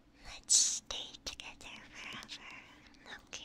Let's stay together forever, okay?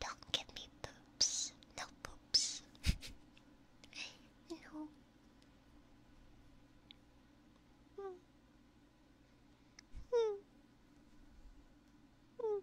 Don't give me poops. No poops. no. Mm. Mm.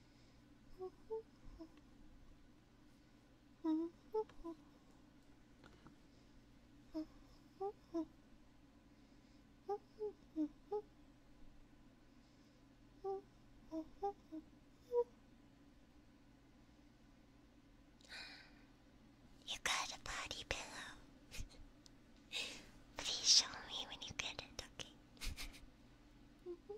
You got a body pillow. Please show me when you get it, okay?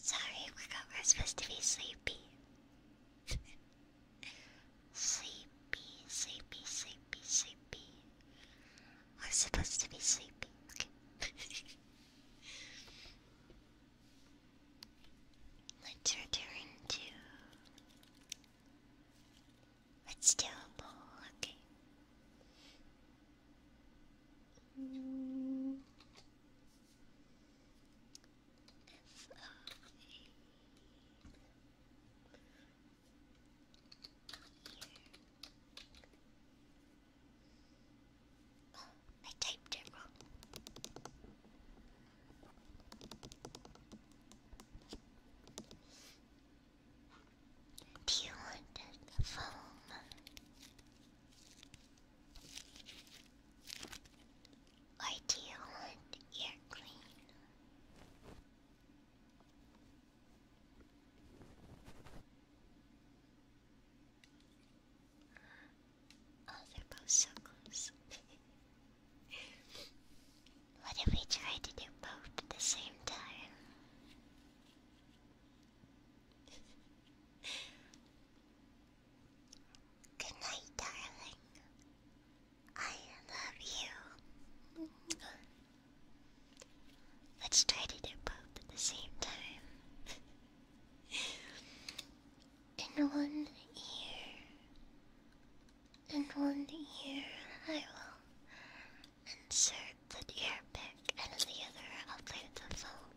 Sorry, we are supposed to be sleepy. sleepy, sleepy, sleepy, sleepy. I'm supposed to be sleeping. Let's return to. Let's do a bowl, okay. I typed it Do you want the foam? Or do you want ear clean? Oh, they're both so close. what if we try to do both at the same time? Good night, darling. I love you. Let's try to do both at the same time. In one ear, in one ear, I will insert the ear pick, and in the other, I'll play the phone.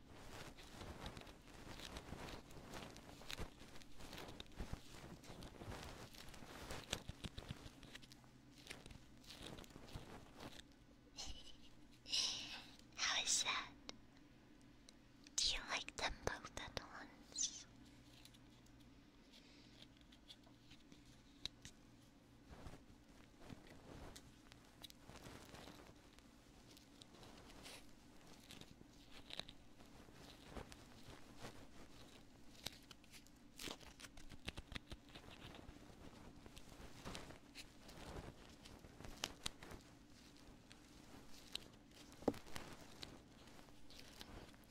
How is that? Do you like them both at once?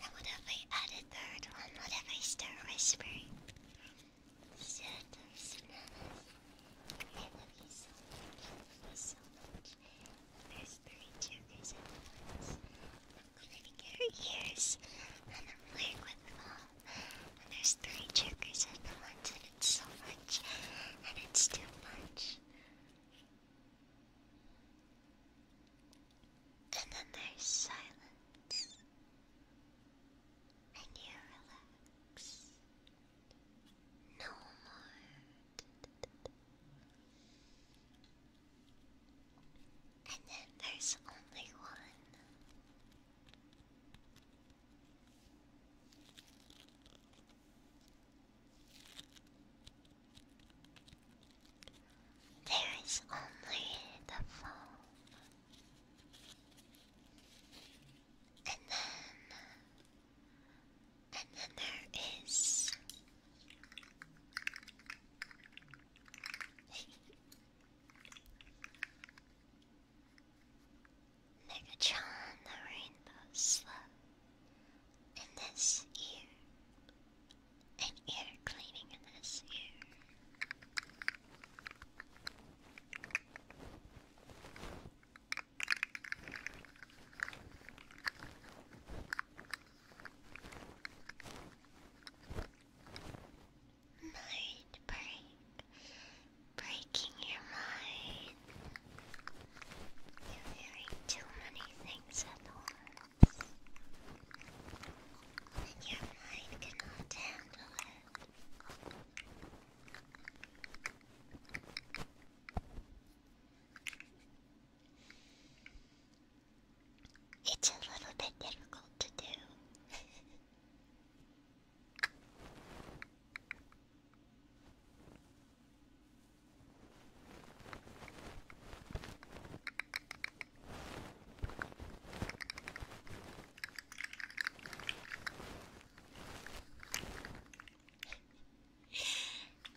And whatever I added third one, whatever I start whispering. you there's three genders at once. I'm clipping her ears, and I'm playing with them And there's three triggers at once, and it's so much, and it's too much. And then there's silence. And you relax. No more. And then there's only one. There is only the phone. And then and then there is. Megatron the Rainbow Slug in this ear. An ear cleaning in this ear. Mind break, breaking your mind. You're hearing too many things at once, your mind cannot handle it. It's a little bit difficult to do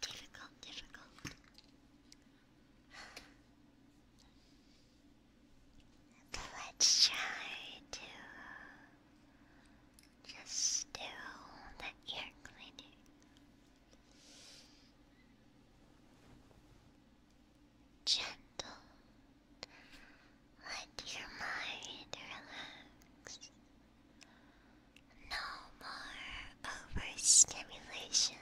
difficult, difficult. let's try to just do the ear cleaning. Gentle. Let your mind relax. No more overstimulation.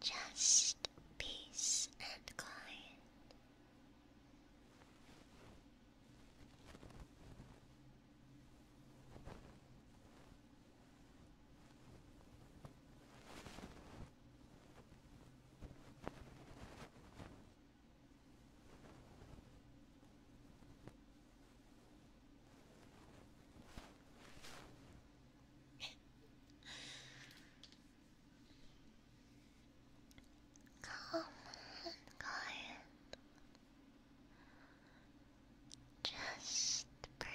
Just peace and quiet. Come on, quiet. Just breathe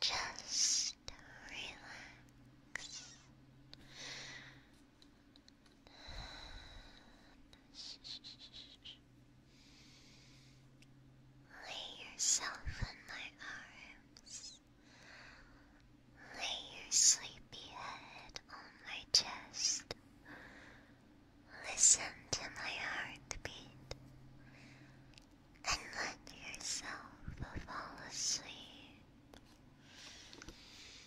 just relax. Lay yourself in my arms. Lay your sleepy head on my chest. Listen to my heartbeat and let yourself fall asleep.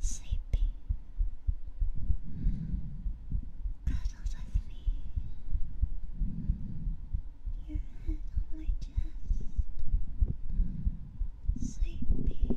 Sleeping, cuddled with me, your head on my chest, Sleeping,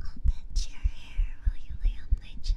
I'll bend your hair while you lay on my chest.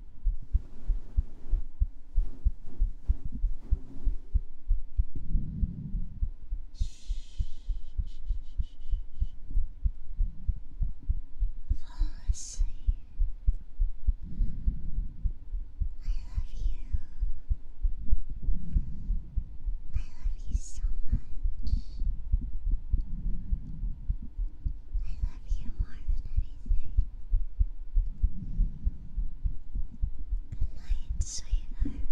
Fall I love you. I love you so much. I love you more than anything. Good night, sweetheart.